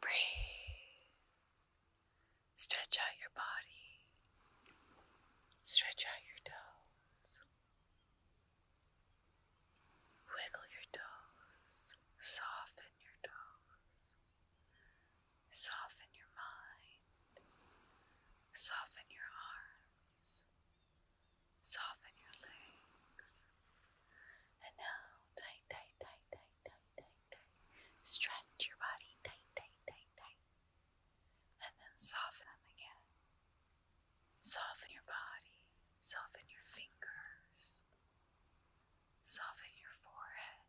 Breathe. Stretch out your body. Stretch out your toes. Wiggle your toes. Soften your toes. Soften your mind. Soften your arms. Soften your legs. And now, tight, tight, tight, tight, tight, tight, Stretch your body tight, tight, tight, tight. And then soften them again. Soften your body. Soften your fingers. Soften your forehead.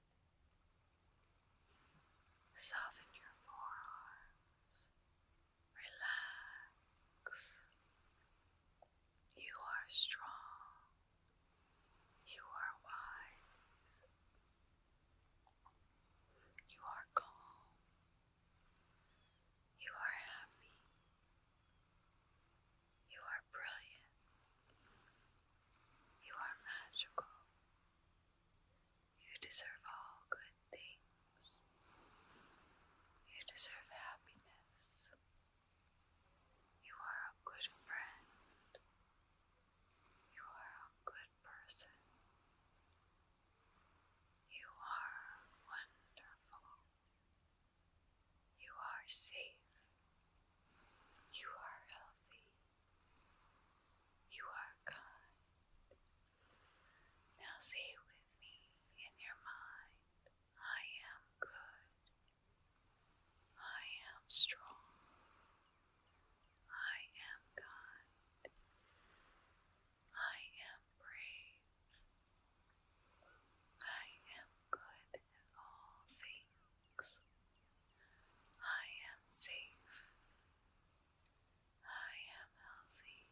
Soften your forearms. Relax. You are strong. You are wise. You are calm. You are happy. You are brilliant. You are magical. You deserve all good things. You deserve happiness. You are a good friend. You are a good person. You are wonderful. You are safe. You are healthy. You are kind. Now say with me in your mind, I am good. I am strong. I am kind. I am brave. I am good in all things. I am safe. I am healthy.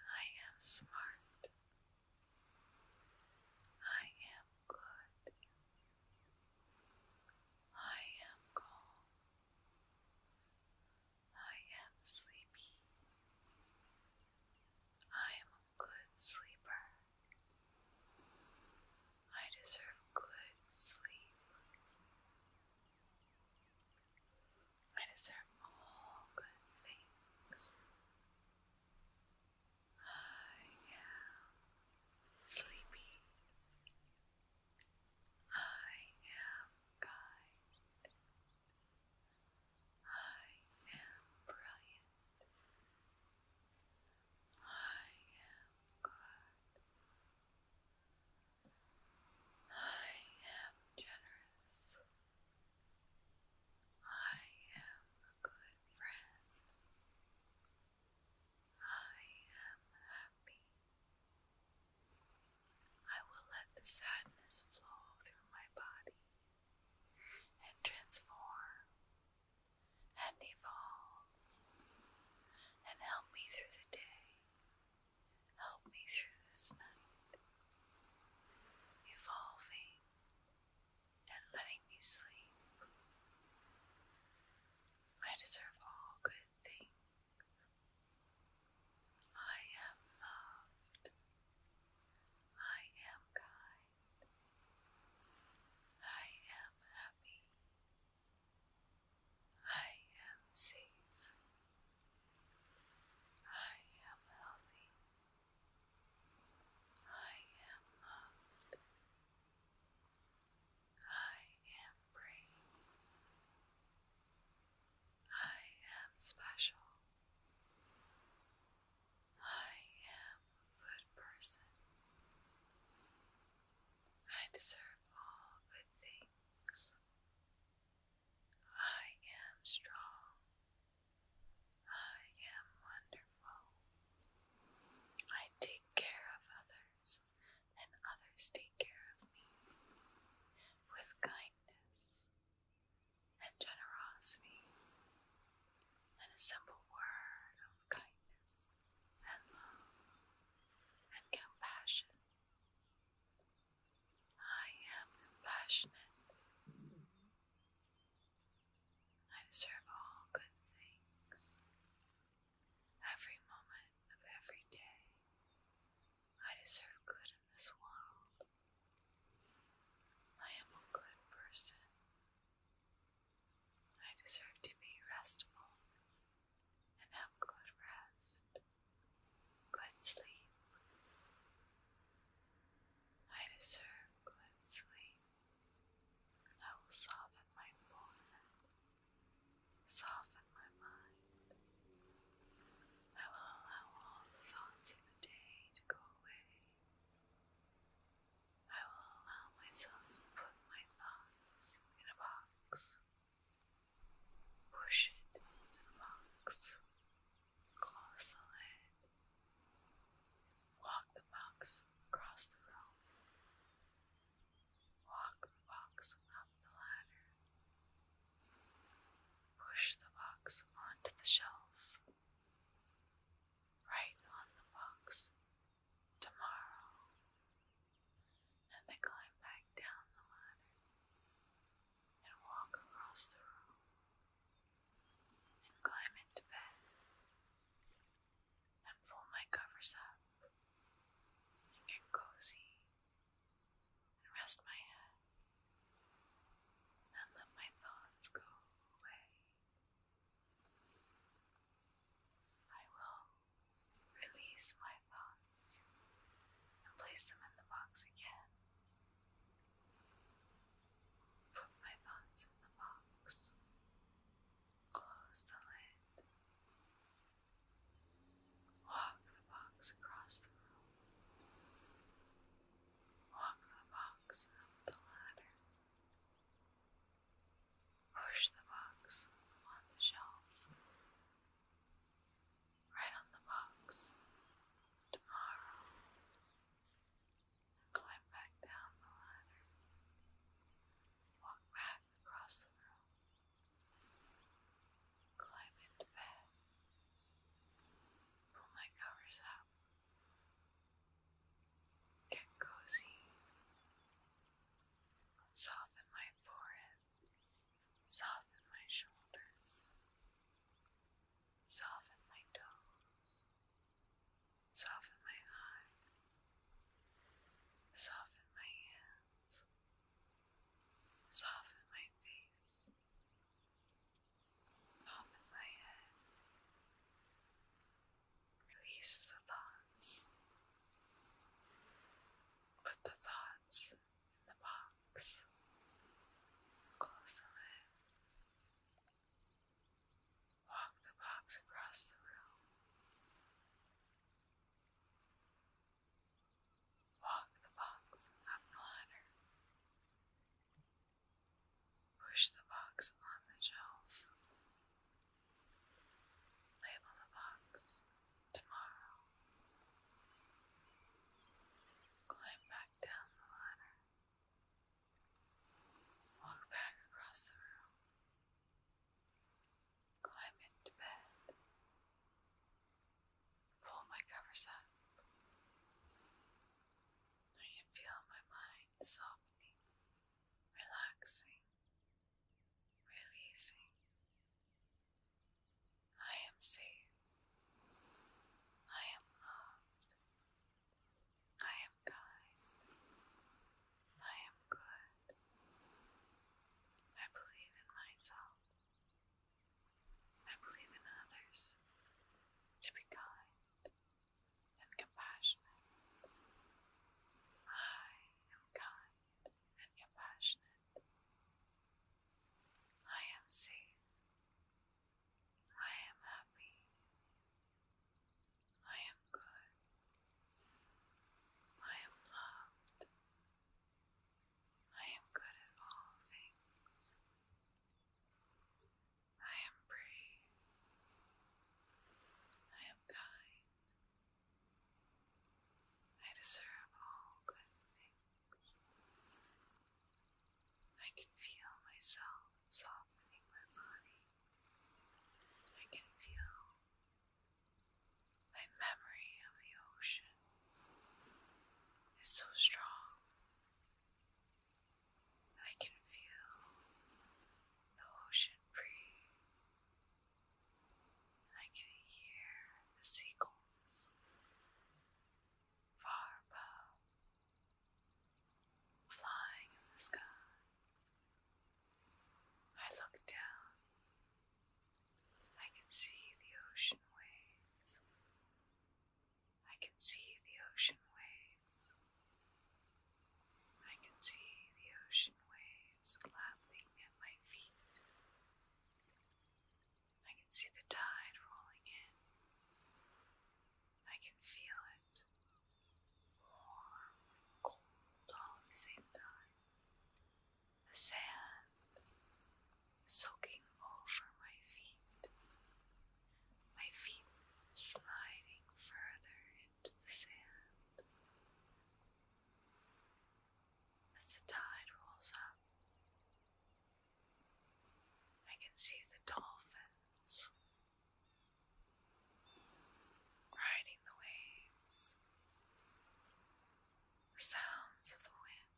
I am smart. I am good. I am calm. I am sleepy. I am a good sleeper. I deserve good sleep. I deserve all good things. I am sleepy. I am kind. I am brilliant. I am good. I am generous. I am a good friend. I am happy. I will let the sadness flow through my body and transform and evolve and help me through the day, help me through this night, evolving and letting me sleep. I deserve all good things. I am loved. I am kind. I am happy. I am safe. I am healthy. I am loved. I am brave. I am special. I am a good person. I deserve all good things. I am strong. I am wonderful. I take care of others, and others take care of me. With kindness and generosity, and a simple word of kindness and love and compassion, I am compassionate. I deserve all good things. Every moment of every day, I deserve good in this world. I am a good person. I deserve to be restful and have good rest, good sleep. I deserve good sleep. I will soften my forehead, soften my mind. I will allow all the thoughts of the day to go away. I will allow myself to put my thoughts in a box, push it into the box, close the lid, Walk the box across the room. Walk the box up the ladder. Push the box onto the shelf. Write on the box tomorrow. And I climb back down the ladder and walk across the room and climb into bed and pull my covers up and get cozy and rest my head and let my thoughts go away. I will release my thoughts and place them in the box again. Put my thoughts in the box. Close the lid. Walk the box across the room. Walk the box up the ladder. Push the box on the shelf right on the box tomorrow climb back down the ladder. Walk back across the room. Climb into bed. Pull my covers up. Get cozy. Soften my forehead. Soften my shoulders. Soften my toes. Soften my eyes. Soften my hands. Soften my face. Soften my head. Release the thoughts. Put the thoughts box. Close the lid. Walk the box across the room. Walk the box up the ladder. Push the box on the shelf. Label the box tomorrow. Climb back back down the ladder. Walk back across the room. Climb into bed. Pull my covers up. I can feel my mind softening, relaxing, releasing. I am safe. I am loved. I am kind. I am good. I believe in myself. I believe in others to be kind and compassionate. I am kind and compassionate. I am safe. I am happy. I am good. I am loved. I am good at all things. I am brave. I am kind. I deserve all good things. I can feel myself softening my body. I can feel my memory of the ocean is so strong. I can feel the ocean breeze. I can hear the seagulls far above, flying in the sky. I look down. I can see the ocean waves. I can see the ocean waves. I can see the ocean waves lapping at my feet. I can see the tide rolling in. I can feel it warm cold at the same time. The sand soaking over my feet. My feet sliding further into the sand. As the tide rolls up, I can see the dolphins riding the waves, the sounds of the wind,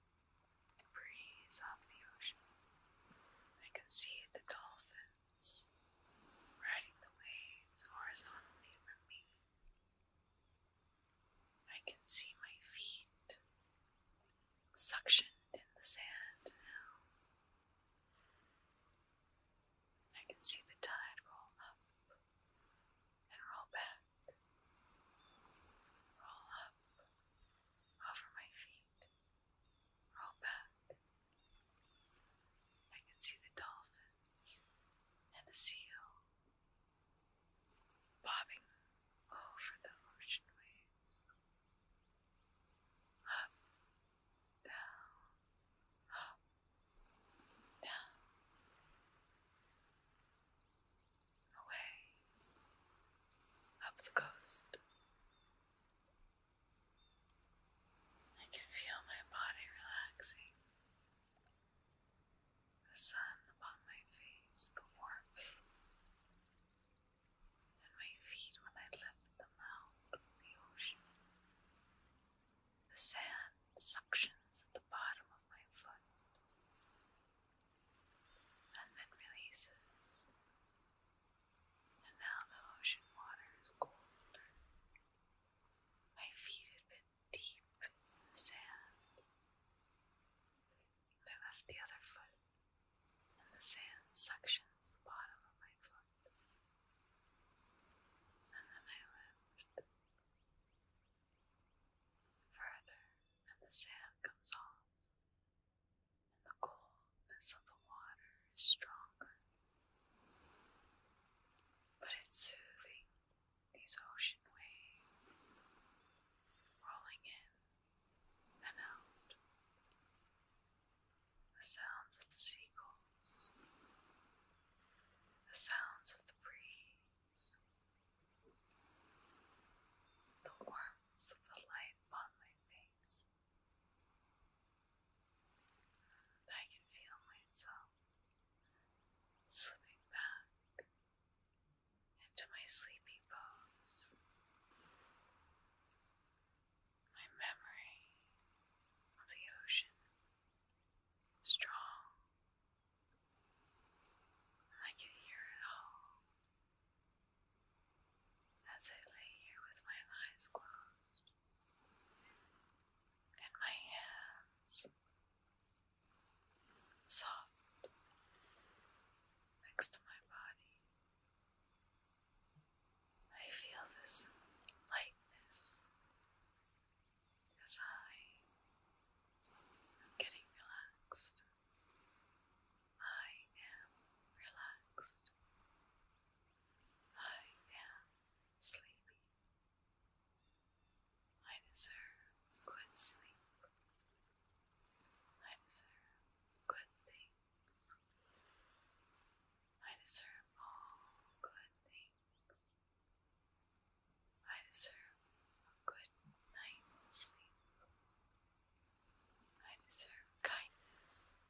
the breeze off the ocean. I can see the dolphins riding the waves horizontally from me. I can see my feet suctioned in the sand I can see the tide roll up and roll back, roll up over my feet, roll back. I can see the dolphins and the seal bobbing over the ocean waves. Up, down, up, down, away, up the coast. I can feel my body relaxing. The sun on my face, the warmth and my feet when I left the mouth of the ocean. The sand suctions at the bottom of my foot and then releases. And now the ocean water is colder. My feet had been deep in the sand. Now that's the other foot, and the sand suctions the bottom of my foot. And then I lift further, and the sand comes off, and the coldness of the water is stronger. But it's soothing, these ocean waves rolling in and out. The sounds of the seagulls, the sounds of the breeze, the warmth of the light upon my face. I can feel myself slipping back into my sleepy bones, My memory of the ocean strong. I can hear it all as I lay here with my eyes closed and my hands soft next to my body. I feel this lightness as I am getting relaxed. I am relaxed. I am sleepy. I deserve good sleep. I deserve good things. I deserve all good things. I deserve a good night's sleep. I deserve kindness.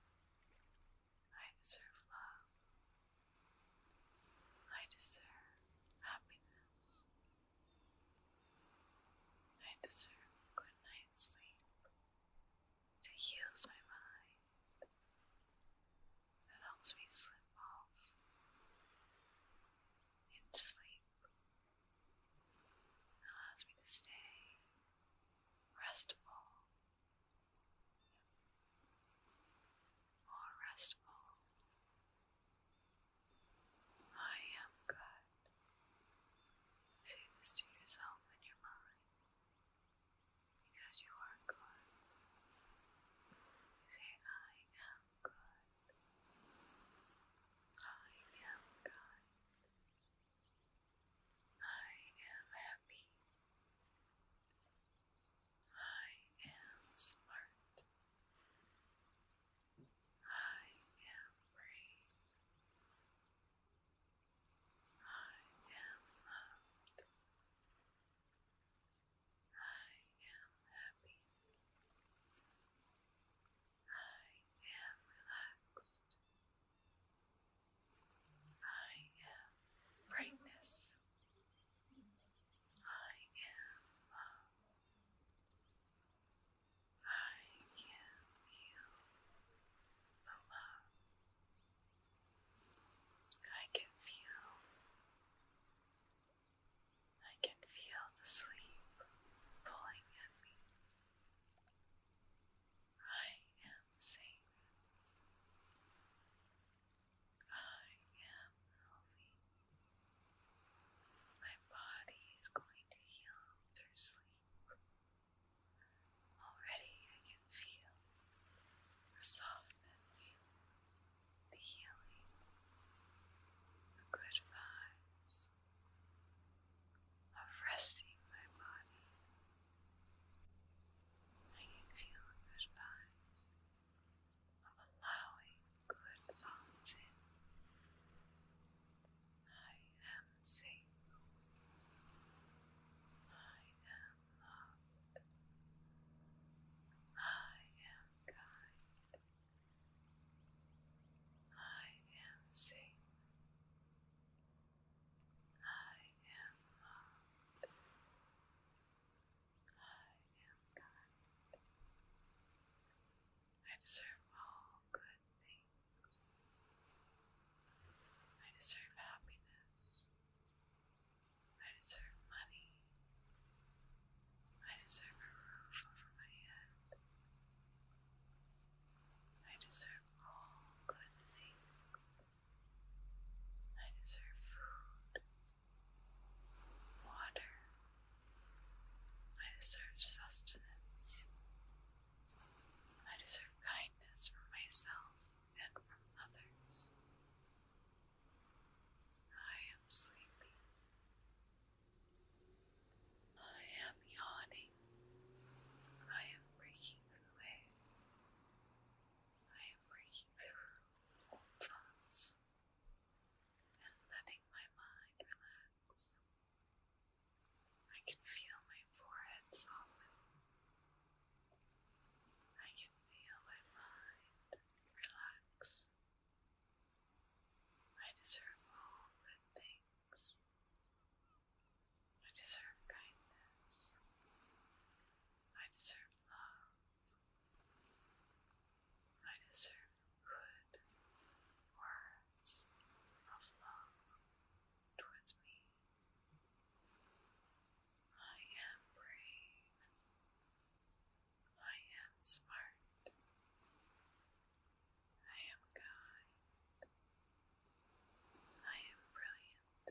I deserve love. I deserve happiness. I deserve a good night's sleep. It heals my mind. It helps me slip off into sleep. It allows me to stay restful. More restful I am God. Say this to yourself in your mind. Because you are good. Say, I am good. I am God. I am happy. I am smart. I am free. I am loved. I am happy. I am relaxed. I am brightness. I am love. I can feel the love. I can feel. I can feel the sleep pulling at me. I am safe. I am healthy. My body is going to heal through sleep. Already I can feel the softness, the healing, the good vibes of resting my body. I can feel good vibes of allowing good thoughts in. I am safe. I am loved. I am kind. I am safe. I am loved. I am kind. I deserve all good things. I deserve happiness. I deserve money. I deserve a roof over my head. I deserve all good things. I deserve food, water, I deserve sustenance. I deserve kindness for myself and for others. I am sleepy. I am yawning. I am breaking through I am breaking through old thoughts and letting my mind relax. I can feel my forehead soften. I can feel my mind relax. I deserve all good things. I deserve kindness. I deserve love. I deserve good words of love towards me. I am brave. I am smart. I am kind. I am brilliant.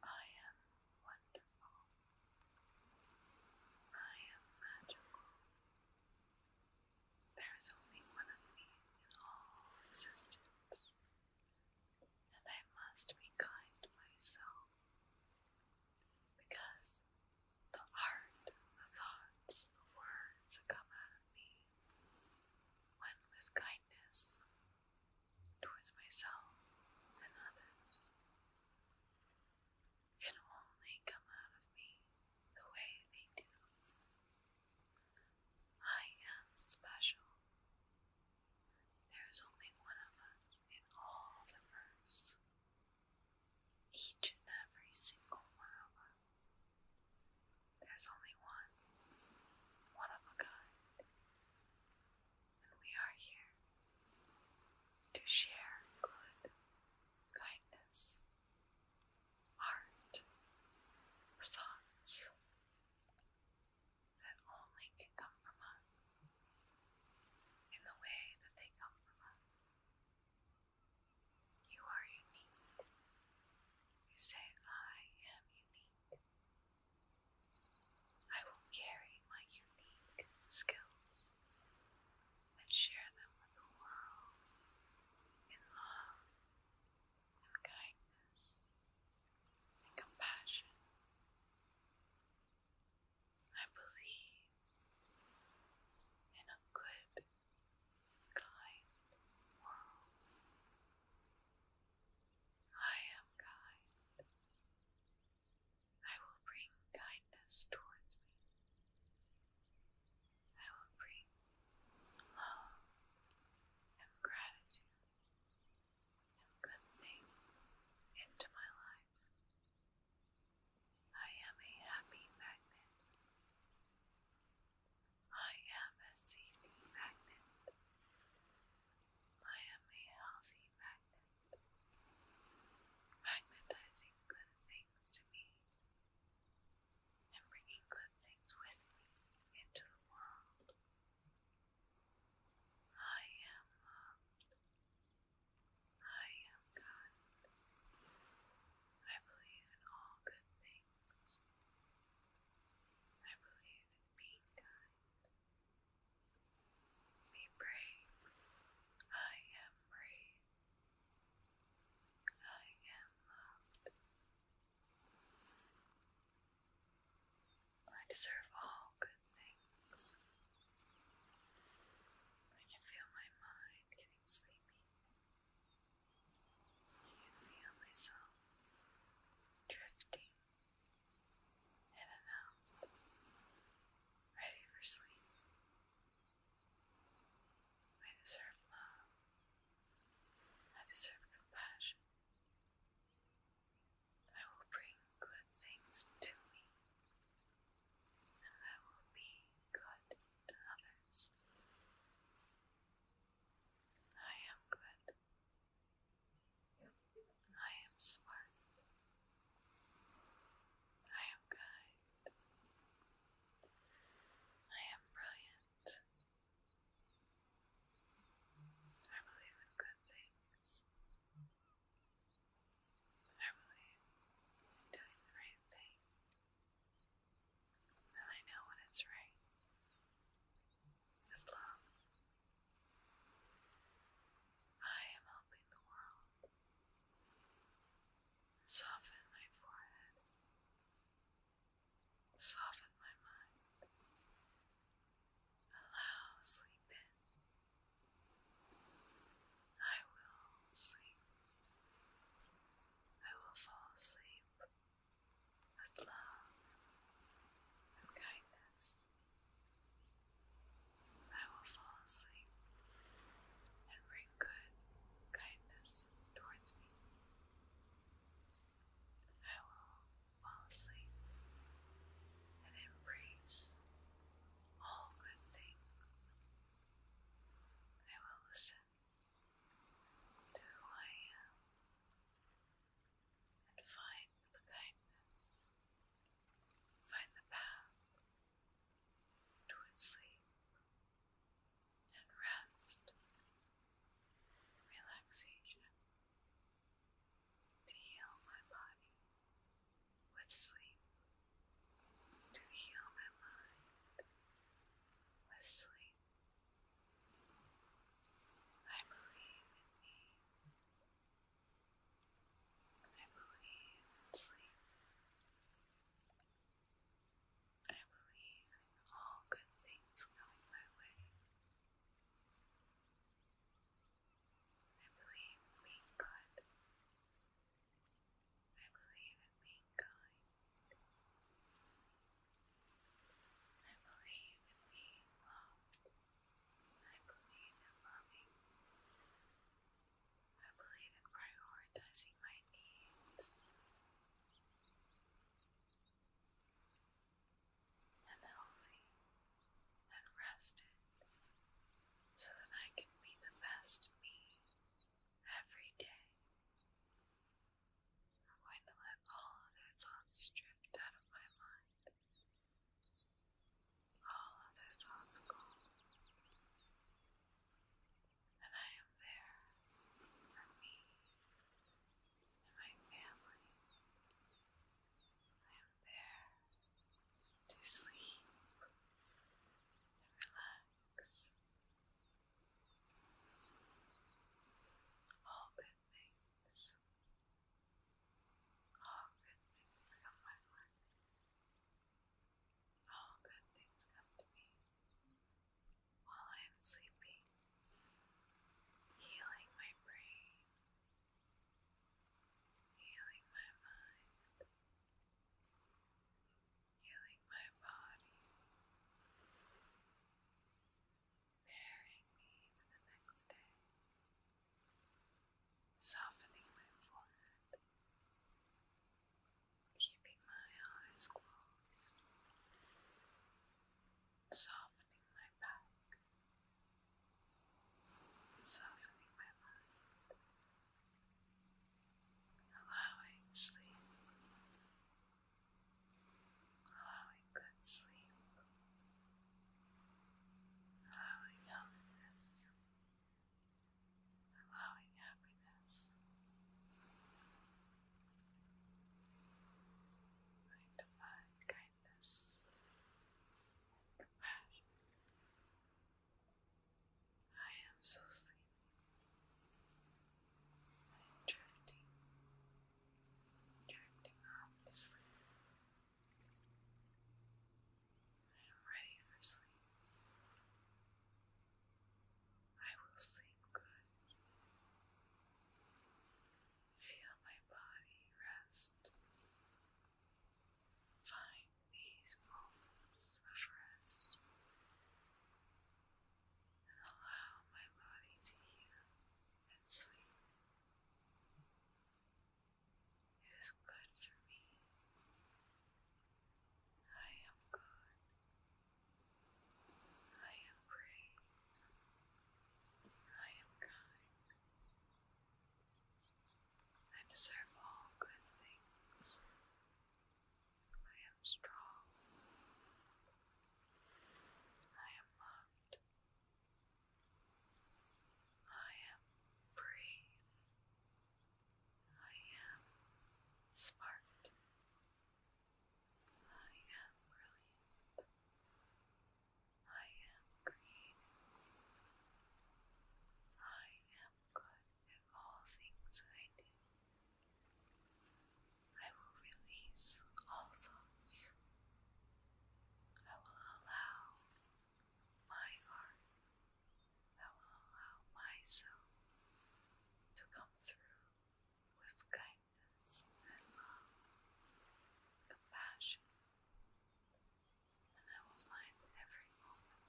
I am wonderful. I am magical. There is only one of me in all existence, and I must be kind to myself because the heart, the thoughts, the words that come out of me, when with kindness towards myself and others can only come out of me the way they do. I am special. There is only one of us in all the verse. Each and every single one of us. There's only one, one of a kind we are here to share good, kindness, art, thoughts that only come from us in the way that they come from us. You are unique. You say, I am unique. I will carry my unique skills and share them with the world in love and kindness and compassion. I believe in a good, kind world. I am kind. I will bring kindness towards me. I will bring love and gratitude and good things into my life. I am a happy magnet. I am a CD magnet. I am a healthy magnet magnetizing good things to me and bringing good things with me into the world. I am loved. I am God. I believe in all good things. I believe in being kind. Be brave. I am brave. I am loved. I deserve all good things. I can feel my mind getting sleepy. I can feel myself drifting in and out, ready for sleep. I deserve love. I deserve compassion. I will bring good things to me, and I will be good to others. I am good. I am smart. I am kind. I am brilliant. I believe in good things. I believe in doing the right thing. And I know when it's right. With love. I am helping the world. Soften my forehead. Soften my mind. Allow sleep in. I will sleep. I will fall asleep with love and kindness. I will fall asleep and bring good kindness towards me. I will fall asleep and embrace all good things. I will listen to who I am and find the kindness Find the path to sleep and rest, relaxation to heal my body with sleep, to heal my mind with sleep. I believe in me. I believe in sleep. I believe in all good things coming my way. I believe in being good. I believe in being kind. I believe in being loved. I believe in loving. I believe in prioritizing my needs. And healthy and rested so that I can be the best me every day. I'm going to let all other thoughts drift out of my mind all other thoughts gone, and I am there for me and my family. I am there to sleep and relax. All good things all good things come my way. All good things come to me while I am sleeping, healing my brain, healing my mind, healing my body, bearing me for the next day softening my forehead, keeping my eyes closed, softening my back, softening my mind, allowing sleep, allowing good sleep. Allowing healthiness, allowing happiness. I divine kindness and compassion. I am so sleepy. I am drifting, drifting off to sleep. I am ready for sleep. I will sleep good. Feel my body rest. Find these of rest and allow my body to heal and sleep. It is good for me. I am good. I am brave. I am kind. I deserve all good things. I am strong. I am loved. I am brave. I am smart. I am brilliant. I am creative. I am good at all things I do. I will release all thoughts. I will allow my heart. I will allow myself to come through with kindness and love, compassion, and I will find every moment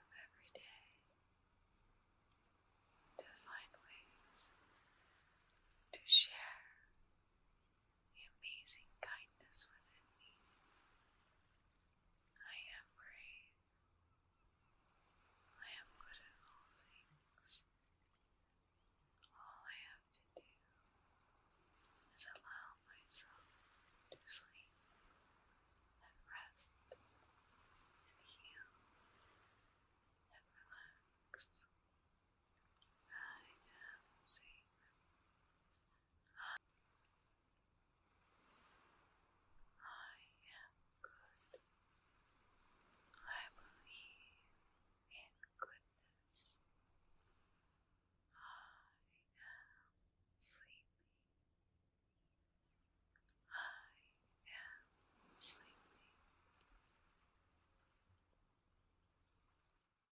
of every day to find ways to share the amazing kindness within me. I am brave. I am good at all things. All I have to do is allow myself to sleep and rest and heal and relax. I am safe. I am good. I believe in goodness. I am sleepy. I am sleepy.